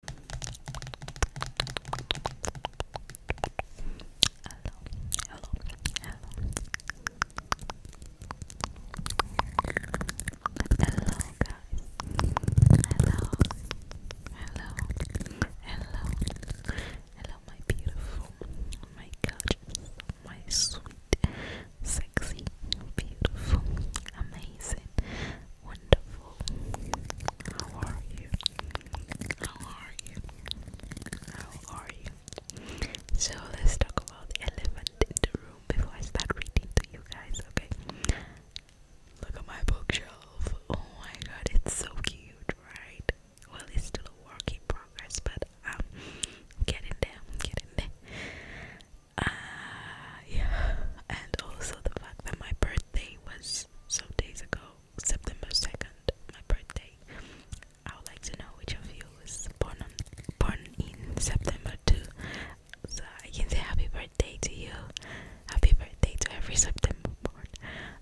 hello, hello hello, hello, hello my beautiful, my gorgeous, my sweet, sexy, beautiful, amazing, wonderful. How are you? How are you? How are you? So let's talk about the elephant in the room before I start reading to you guys, okay? Look at my bookshelf. Oh my god, it's so cute, right? Well, it's still a work in progress, but I'm um, getting there, getting there. Uh, yeah, and also the fact that my birthday was so days ago, September 2nd, my birthday. I would like to know which of you was born born in September too. So I can say happy birthday to you. Happy birthday to every September born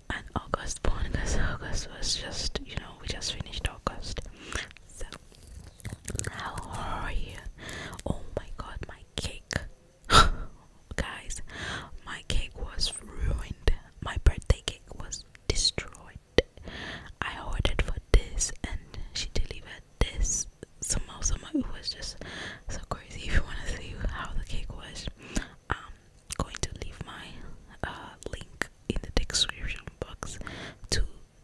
and August born because August was just you know we just finished August. So how are you? Oh my god, my cake. Guys, my cake was ruined. My birthday cake was destroyed. I ordered for this and she delivered this. Somehow, somehow it was just so crazy. If you want to see how the cake was, I'm going to leave my uh, link in the description box to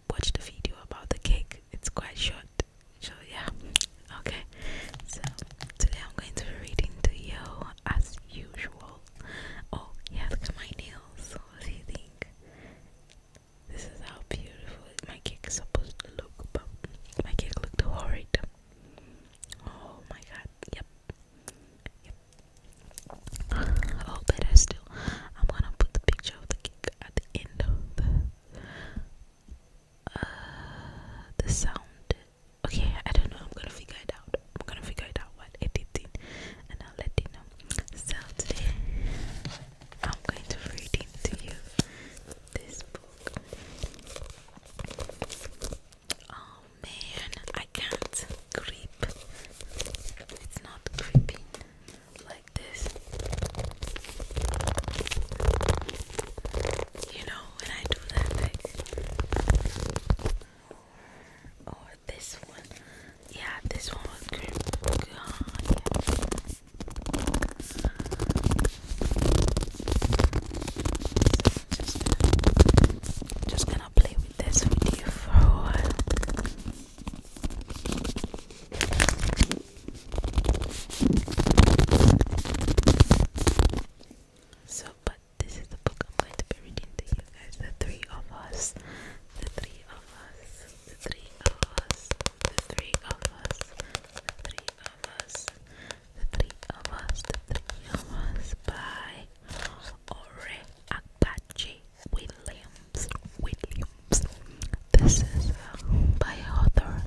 watch the video about the cake. It's quite short so yeah, okay. So today I'm going to be reading to you as usual. Oh yeah, look at my nails. What do you think? This is how beautiful my cake is supposed to look, but my cake looked horrid. Oh my god, yep. Yep. Oh better still. I'm gonna put the picture of the cake at the end of uh, the sound. Okay, I don't know. I'm gonna figure it out. I'm gonna figure it out while editing, and I'll let you know. So today, I'm going to read into you this book. Oh man, I can't creep. It's not creeping like this. You know, when I do that like or oh, this one. Yeah, this one was great. yeah. just, just gonna play with this video for a while. So, but this is the book I'm going to be reading to you guys. The three of us, the three of us, the three of us, the three of us, the three of us, the three of us, the three of us by Ore Apache Williams. Williams. This is uh, by author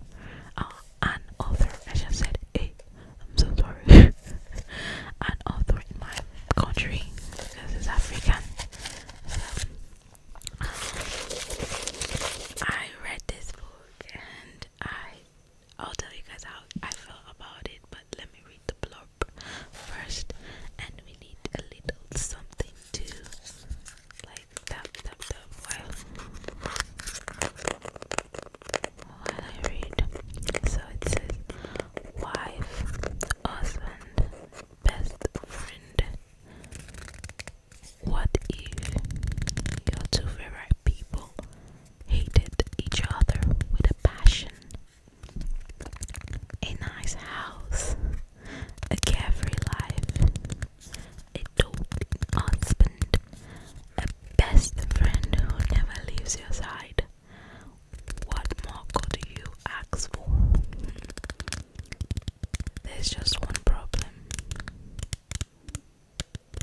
uh, an author. I said I'm so sorry. an author in my country because it's African. I read this book and I I'll tell you guys how I felt about it, but let me read the blurb first and we need a little something to like tap tap tap while while I read. So it says wife, husband, best friend. What if your two favorite people hated each other with a passion? A nice house, a carefree life, a doting husband, a best friend who never leaves your side. What more could you ask for? There's just one problem.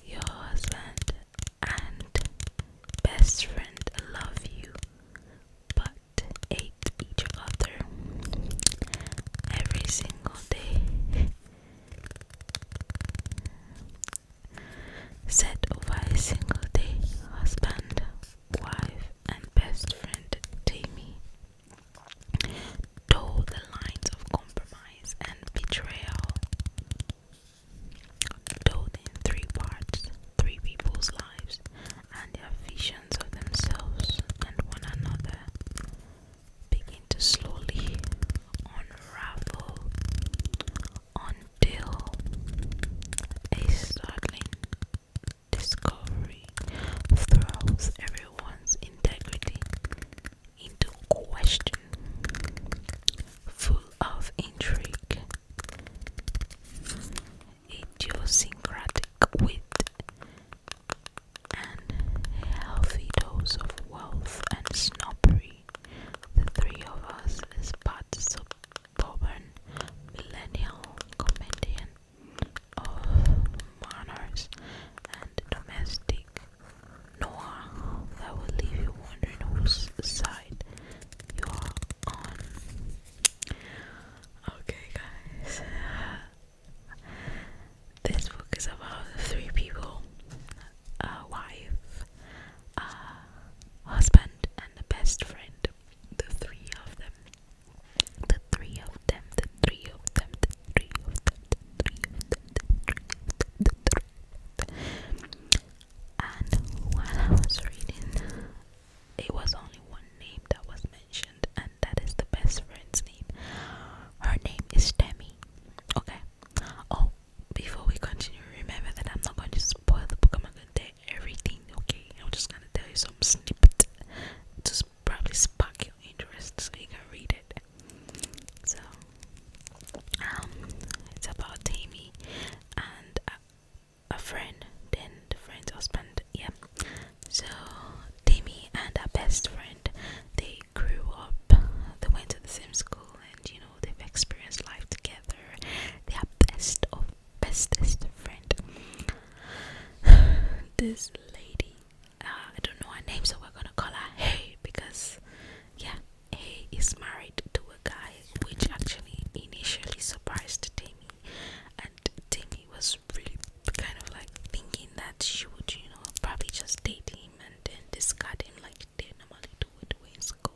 Your husband and best friend love you, but hate each other every single day. Set over a single day, husband, wife, and best friend Tammy toe the lines of compromise and betrayal. Told in three parts, three people's lives and their visions of themselves and one another begin to slowly unravel until a startling discovery throws everyone's integrity into question, full of intrigue, idiosyncratic wit, and healthy dose of wealth and snobbery. The three of us is part suburban, millennial comedian of monarchs and domestic Noah that will leave you wondering whose side you are on. Okay, guys. This book is about three people wife, husband, and a best friend. The three of them. The three of them. The three of them. The three of them. The three of them. The three of them. And while I was reading, it was only one name that was mentioned, and that is the best friend's name. Her name is Demi. Okay, Oh, before we continue, remember that I'm not going to spoil the book. I'm not going to tell everything, okay? I'm just going to tell you some snippet to probably spark your interest so you can read it. So, um, it's about Tammy and a, friend, then the friend's husband, yeah. So, Tammy and her best friend, they grew up, they went to the same school, and you know, they've experienced life together. They are best of bestest friend. this lady, uh, I don't know her name, so we're gonna call her Hey because, yeah, Hey is married to a guy which actually initially surprised Timmy, and Timmy was really kind of like thinking that she would, you know, probably just date him and then discard him like they normally do it when school.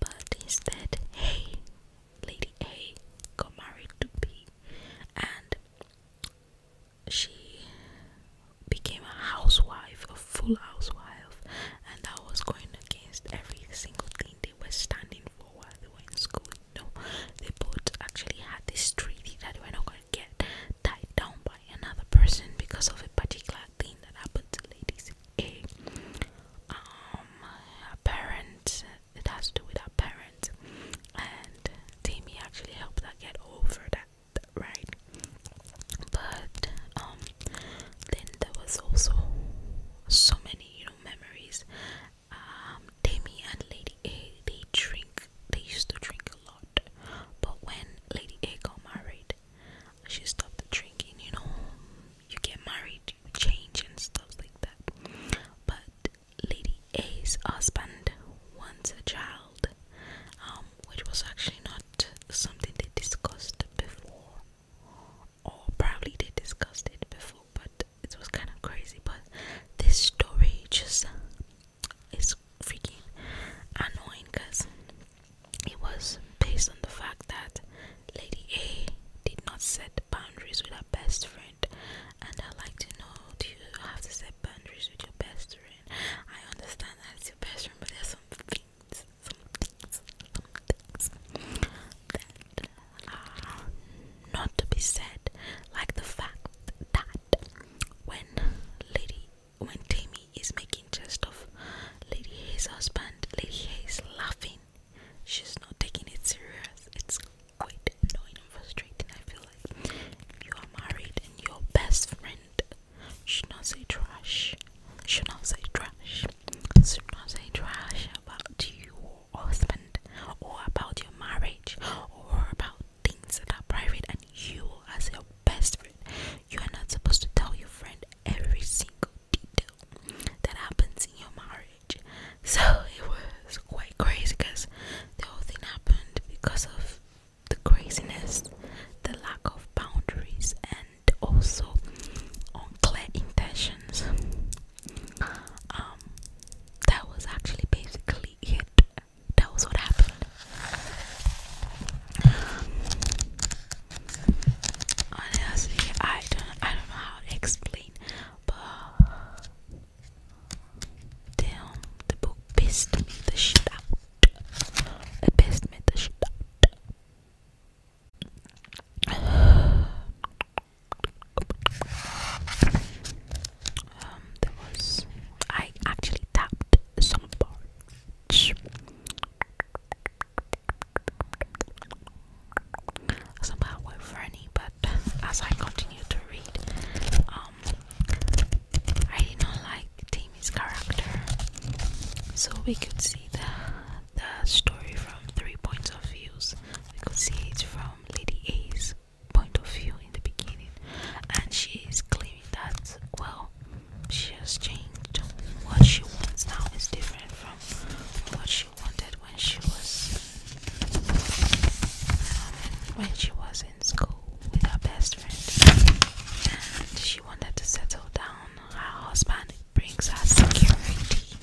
But instead, hey, Lady A got married to B and she became a housewife, a full housewife, and I was going against every single thing they were standing for while they were in school. You no, know? they both actually had this treaty that we're not going to get tied down by another person because of a particular thing that happened to ladies. A um a parent it has to do with our parents and Timmy actually helped her get over that, right? But um then there was also so many, you know, memories. Um Timmy and Lady A they drink they used to drink a lot. But when Lady A got married, she stopped drinking, you know. You get married, you change and stuff like that. But Lady A's husband wants a child, um, which was actually not something they discussed before. Or probably they discussed it before, but it was kind of crazy. But this story just is freaking annoying because it was based on the fact that Lady A did not set boundaries with her best friend. And I'd like to know do you have to set boundaries with your best friend? I understand that it's your best friend, but there's some things, some things, some things that are not to be said. Like the fact that when Lady when Tammy is making jest of Lady Hay's husband, Lady Hay is laughing. She's not taking it serious. It's quite annoying and frustrating. I feel like you are married and your best friend should not say trash. Should not say trash. Should not say trash about you husband or about your marriage or about things that are private and you as your best friend you are not supposed to tell your friend every single detail that happens in your marriage. So it was quite crazy because the whole thing happened because of the craziness, the lack of boundaries, and also unclear intentions. Um, that was actually basically it. That was what happened. Honestly, I don't I don't know how to explain but damn the book pissed me the shit out. It pissed me the shit out. Um, there was I actually tapped some bar much. It's not for any, but as I continue to read, um, I did not like Tammy's character, so we could see the the story from three points of views. We could see it from Lady A's point of view in the beginning, and she is claiming that well, she has changed. What she wants now is different from what she wanted when she was um, when she was in school with her best friend. And she wanted to settle down. Her husband brings her security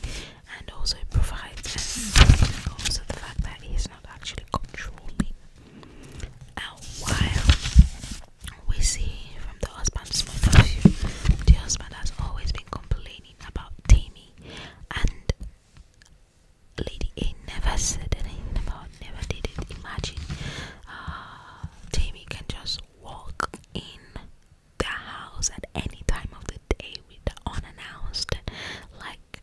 and also it provides and also the fact that he's not actually controlling. And while we see from the husband's point of view, the husband has always been complaining about Tammy, and Lady A never said anything about, never did it. Imagine uh, can just walk in the house at any time of the day with unannounced. Like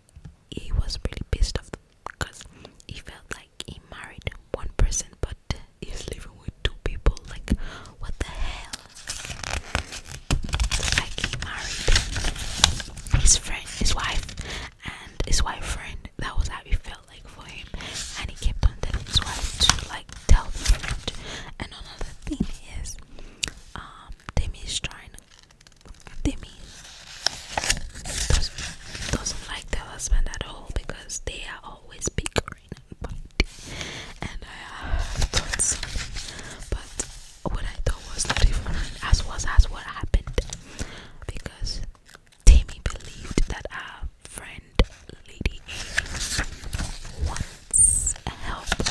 he was really pissed off because he felt like he married one person but he's living with two people like what the hell like he married his friend his wife and his wife friend that was how he felt like for him and he kept on telling his wife to like tell the friend and another thing is um Demi is trying Demi doesn't, like their husband at all because they are always bickering and fighting, and I thought something, but what I thought was not even as was as what happened because Tammy believed that our friend Lady Amy wants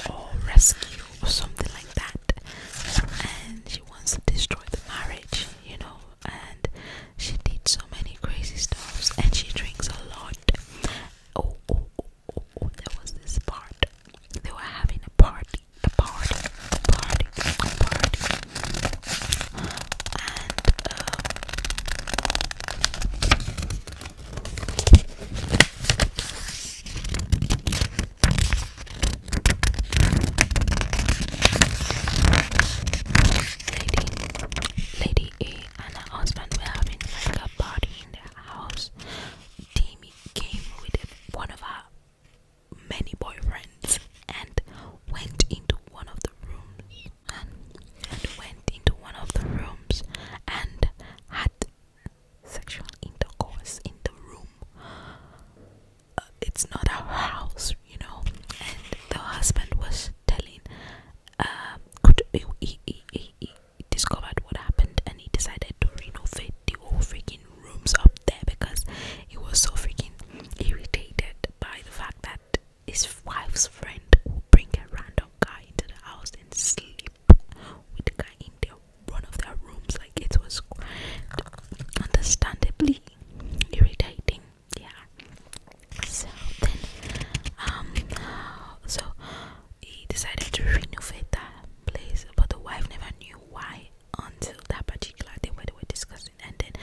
or rescue or something like that, and she wants to destroy the marriage, you know, and she did so many crazy stuffs and she drinks a lot. Oh, oh, oh, oh, oh there was this part. They were having a party, a party, party, a party. And um, lady, lady A and her husband were having like a party in their house. Demi came with one of her many boyfriends and went into one of the rooms and, went into one of the rooms and had sexual intercourse in the room. Uh, it's not a house, you know. And the husband was telling um, he, he, he, he discovered what happened and he decided to renovate the whole freaking rooms up there because he was so freaking irritated by the fact that his wife's friend would bring a random guy into the house and sleep with the guy in their one of their rooms like it was understandably irritating yeah so then um so he decided to renovate that place but the wife never knew why until that particular day when they were discussing and then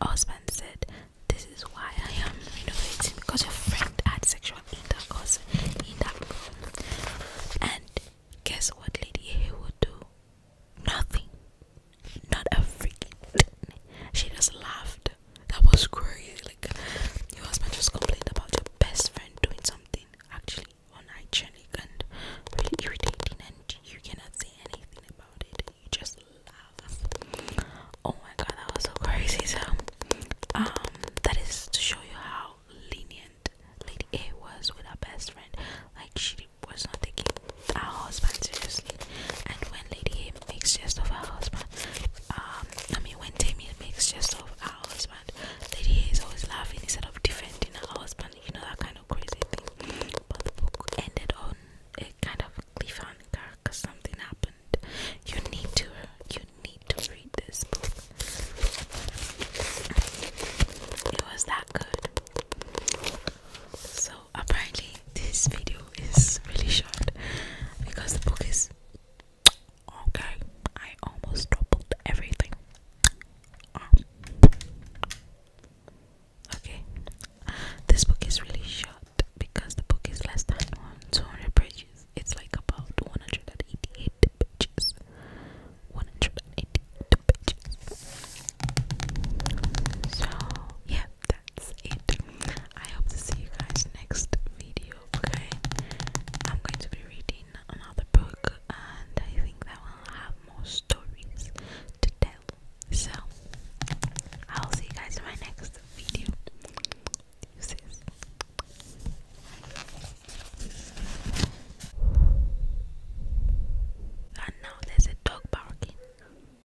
the husband said this is why i am renovating because your friend had sexual intercourse in that room and guess what lady a would do nothing not a freaking She just laughed. That was crazy. Like your husband just complained about your best friend doing something actually on unhygienic and really irritating, and you cannot say anything about it. You just laugh. Oh my god, that was so crazy. So, um, that is to show you how lenient Lady A was with her best friend. Like she was not taking our husband seriously. And when Lady A makes jest of her husband, um, I mean when Tammy makes jest of her husband, Lady A is always laughing instead of defending her husband. You know that kind of crazy thing. But the book ended on a kind of cliffhanger because something happened. You need to, you need to read this book. It was that good. So apparently this video is really short because the book is okay. I almost doubled everything. Um, okay, this book is really short because the book is less than two hundred pages. It's like about one hundred and eighty-eight pages. One hundred and eighty-eight pages. So yeah, that's it. I hope to see you guys next video. Okay, I'm going to be reading another book, and I think that will have more stories to tell. So, I'll see you guys in my next video. Deuces. And there's a dog barking.